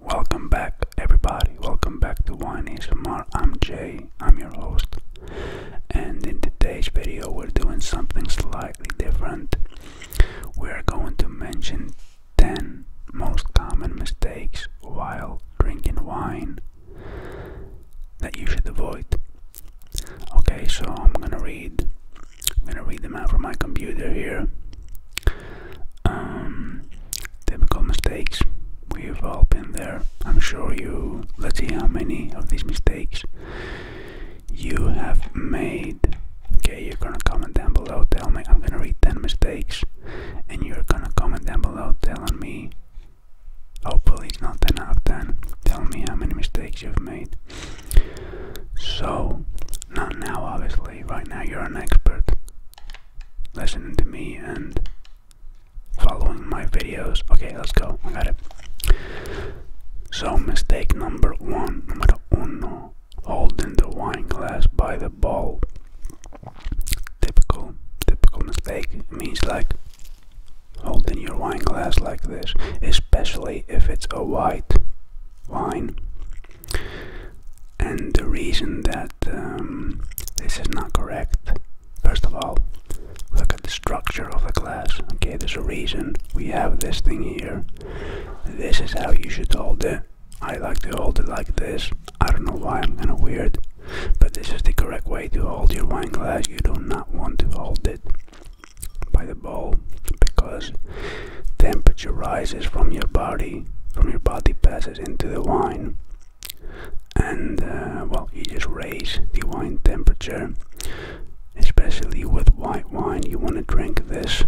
Welcome back, everybody. Welcome back to Wine Is ASMR. I'm Jay, I'm your host, and in today's video, we're doing something slightly different. We're going to mention 10 most common mistakes while drinking wine that you should avoid. Okay, so I'm gonna read. I'm gonna read them out from my computer here. Um, typical mistakes. We've all been there. I'm sure you. Let's see how many of these mistakes you have made. Okay, you're gonna comment down below. Tell me. I'm gonna read 10 mistakes, and you're gonna comment down below telling me Hopefully, it's not enough then. Tell me how many mistakes you've made. So, not now, obviously. Right now, you're an expert listening to me and following my videos. Okay, let's go. I got it. So, mistake number one, numero uno, holding the wine glass by the bowl. Typical, typical mistake. means like holding your wine glass like this, especially if it's a white wine. And the reason that um, this is not correct, first of all, look at the structure of the glass. Okay, there's a reason we have this thing here. This is how you should hold it. I like to hold it like this. I don't know why I'm kind of weird. But this is the correct way to hold your wine glass. You do not want to hold it by the bowl because temperature rises from your body, from your body passes into the wine, and uh, well, you just raise the wine temperature. Especially with white wine, you want to drink this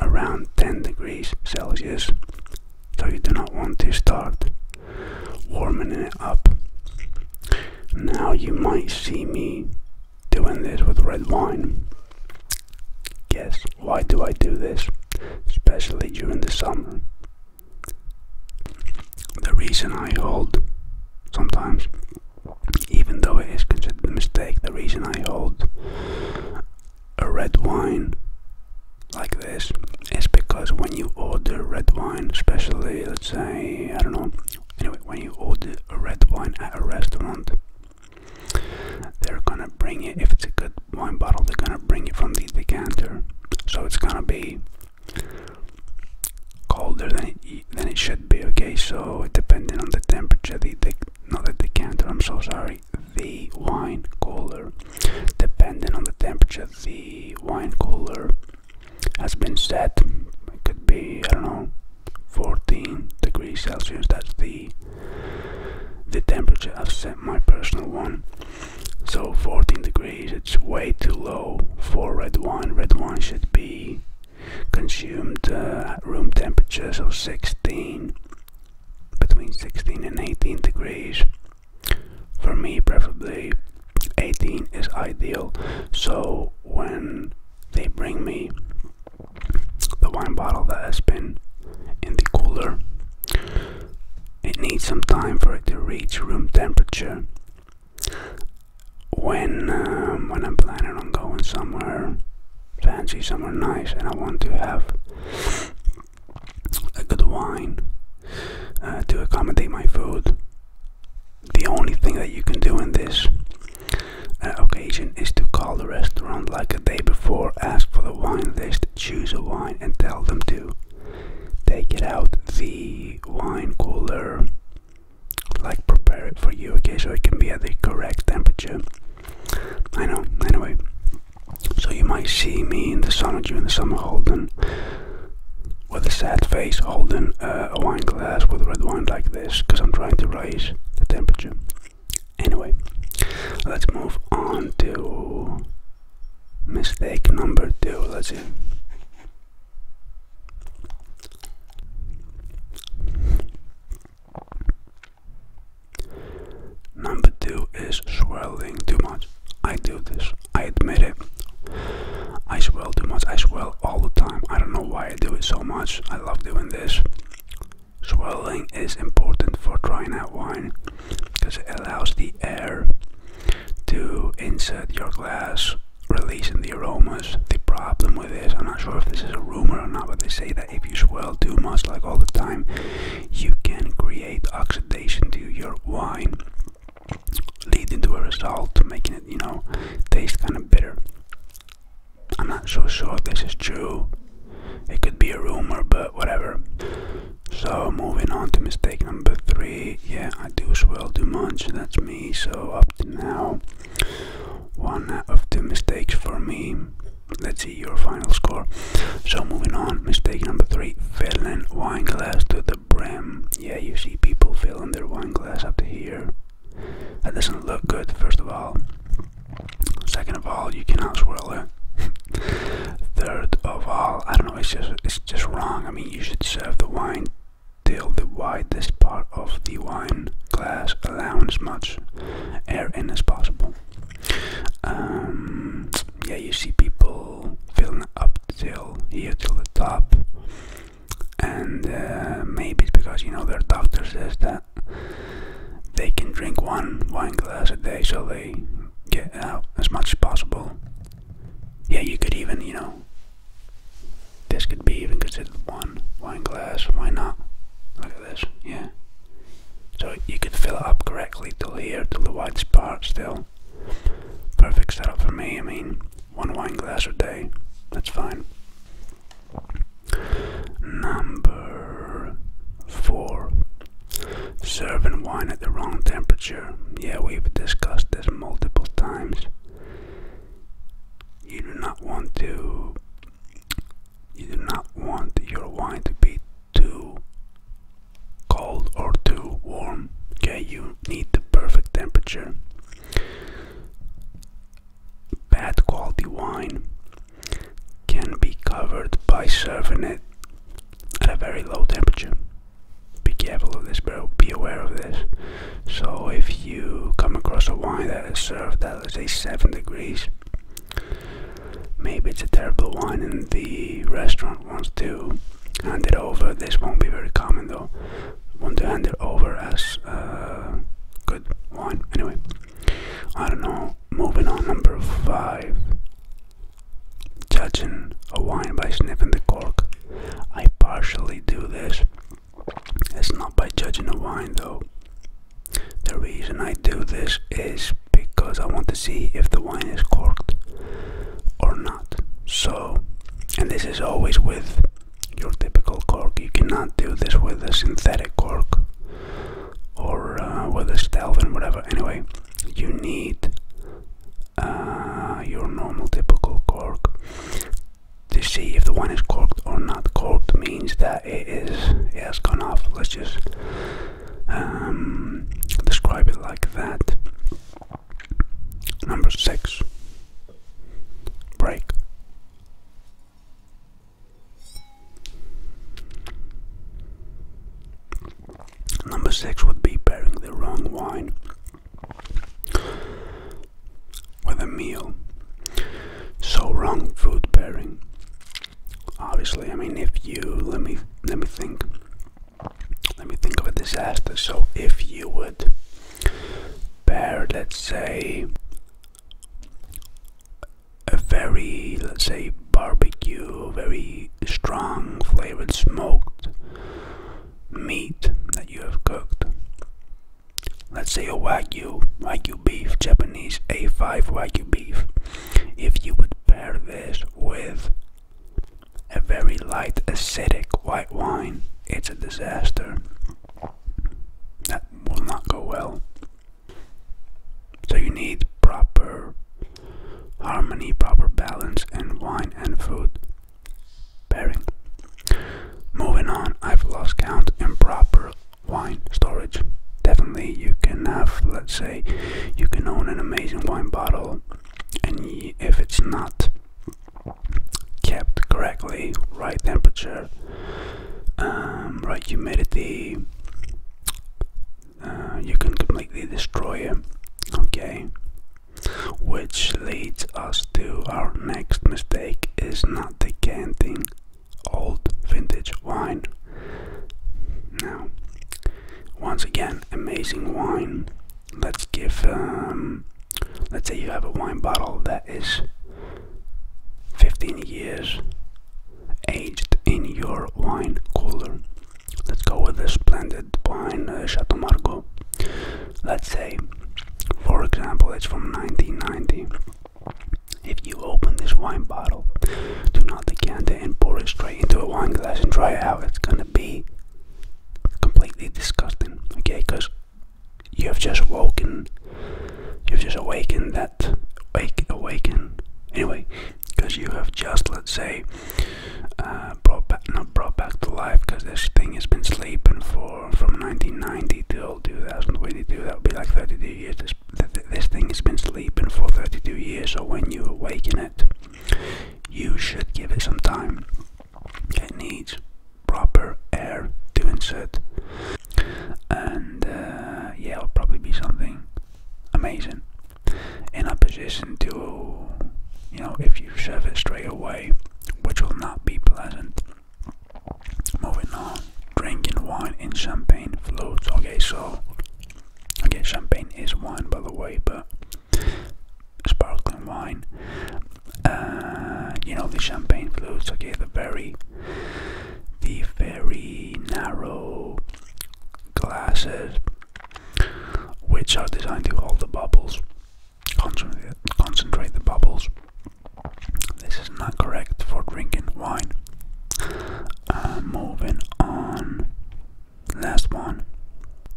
around 10 degrees Celsius, so you do not want to start warming it up. Now you might see me doing this with red wine. Guess why do I do this? Especially during the summer. The reason I hold sometimes, even though it is considered a mistake, the reason I hold a red wine like this is because when you order red wine, especially let's say, I don't know, anyway, when you order a red wine at a restaurant, they're gonna bring you if it's a good wine bottle, they're gonna bring you from the decanter. So it's gonna be colder than it, than it should be, okay? So depending on the temperature, the, the not the decanter, I'm so sorry, the wine cooler, depending on the temperature the wine cooler has been set. It could be, I don't know, 14 degrees Celsius. That's the the temperature I've set my personal one. So 14 degrees, it's way too low for red wine. Red wine should be consumed uh, room temperature, so 16, between 16 and 18 degrees. For me, preferably 18 is ideal. So when they bring me the wine bottle that has been in the cooler, it needs some time for it to reach room temperature. When um, when I'm planning on going somewhere fancy, somewhere nice, and I want to have a good wine uh, to accommodate my food. The only thing that you can do in this uh, occasion is to call the restaurant like a day before, ask for the wine list, choose a wine, and tell them to take it out the wine cooler, like prepare it for you, okay, so it can be at the correct temperature. I know, anyway, so you might see me in the sauna during the summer holding, with a sad face, holding uh, a wine glass with red wine like this, because I'm trying to raise the temperature. Anyway, let's move on to mistake number two. Let's see. Number two is swirling too much. I do this, I admit it. I swirl too much, I swirl all the time. I don't know why I do it so much. I love doing this. Swirling is important for drying out wine because it allows the air to insert your glass, releasing the aromas. The problem with this, I'm not sure if this is a rumor or not, but they say that if you swirl too much, like all the time, you can create oxidation to your wine, leading to a result making it, you know, taste kind of bitter. I'm not so sure this is true. It could be a rumor, but whatever. So moving on to mistake number three. Yeah, I do swirl too much. That's me. So up to now, one of the mistakes for me. Let's see your final score. So moving on, mistake number three, filling wine glass to the brim. Yeah, you see people filling their wine glass up here. That doesn't look good, first of all. Second of all, you cannot swirl it. Third of all, I don't know, it's just it's just wrong. I mean you should serve the wine till the widest part of the wine glass allowing as much air in as possible. Um, yeah, you see people filling up till here till the top, and uh, maybe it's because you know their doctor says that they can drink one wine glass a day, so they get out as much as possible. Yeah, you could even you know this could be even considered one wine glass. Why not? Look at this. Yeah, so you can fill it up correctly till here, till the whites part still. Perfect setup for me, I mean, one wine glass a day, that's fine. Number four. Serving wine at the wrong temperature. Yeah, we've discussed this multiple times. You do not want to you do not want your wine to be too cold or too warm. Okay, you need the perfect temperature. Bad quality wine can be covered by serving it at a very low temperature. Be careful of this, bro. Be aware of this. So, if you come across a wine that is served at, let's say, 7 degrees, Maybe it's a terrible wine and the restaurant wants to hand it over. This won't be very common though. Want to hand it over as a uh, good wine. Anyway, I don't know. Moving on, number five. Judging a wine by sniffing the cork. I partially do this. It's not by judging a wine though. The reason I do this is because I want to see if the wine is corked or not. So, and this is always with your typical cork. You cannot do this with a synthetic cork or uh, with a Stelvin, whatever. Anyway, you need uh, your normal typical cork to see if the wine is corked or not. Corked means that it is it has gone off. Let's just um, describe it like that. Number six, break. Number six would be pairing the wrong wine with a meal. So, wrong food pairing obviously i mean if you let me let me think let me think of a disaster so if you would bear let's say a very let's say barbecue very strong flavored smoked meat that you have cooked let's say a wagyu wagyu beef japanese a5 wagyu beef if you would pair this with a very light acidic white wine, it's a disaster. That will not go well. So you need proper harmony, proper balance in wine and food pairing. Moving on, I've lost count. Improper wine storage. Definitely, you can have, let's say, you can own an amazing wine bottle, and if it's not kept correctly, right temperature, um, right humidity, uh, you can completely destroy it. Okay, which leads us to our next mistake: is not decanting old vintage wine. Now, once again, amazing wine. Let's give, um, let's say you have a wine bottle that is 15 years aged in your wine cooler. Let's go with a splendid wine, uh, Chateau Margaux. Let's say, for example, it's from 1990 if you open this wine bottle, do not decant it and pour it straight into a wine glass and try it out. It's gonna be completely disgusting, okay? Because you have just woken, you've just awakened that, wake, awaken, anyway, because you have just, let's say, uh, brought back, not brought back to life, because this thing has been sleeping for from 1990 till 2022. That would be like 32 years. This this thing has been sleeping for 32 years, so when you awaken it, you should give it some time. It needs proper air to insert, and uh, yeah, it'll probably be something amazing. In a position to, you know, if you shove it straight away, which will not be pleasant. Moving on, drinking wine and champagne floats. Okay, so okay, champagne is wine, by the way, but sparkling wine. Uh, you know the champagne flutes. Okay, the very, the very narrow glasses, which are designed to hold the bubbles, concentrate, concentrate the bubbles. This is not correct for drinking wine. Uh, moving on. Last one.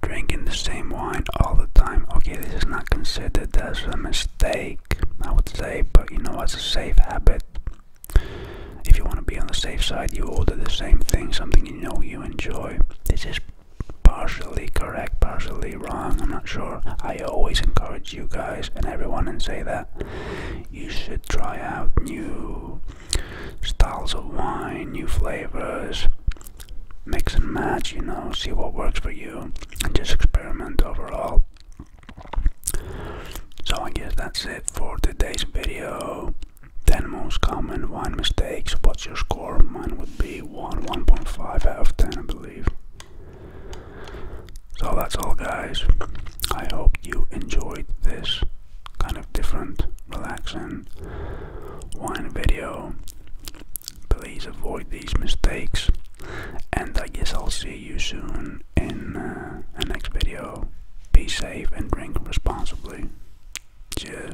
Drinking the same wine all the time. Okay, this is not considered as a mistake, I would say, but you know, as a safe habit. If you want to be on the safe side, you order the same thing, something you know you enjoy. This is partially correct, partially wrong, I'm not sure. I always encourage you guys and everyone and say that you should try out new styles of wine, new flavors, mix and match, you know, see what works for you, and just experiment overall. So I guess that's it for today's video. 10 most common wine mistakes. What's your score? Mine would be 1, 1.5 out of 10, I believe. So that's all, guys. I hope you enjoyed this kind of different, relaxing wine video. Please avoid these mistakes, and I guess I'll see you soon in uh, the next video. Be safe and drink responsibly. Cheers.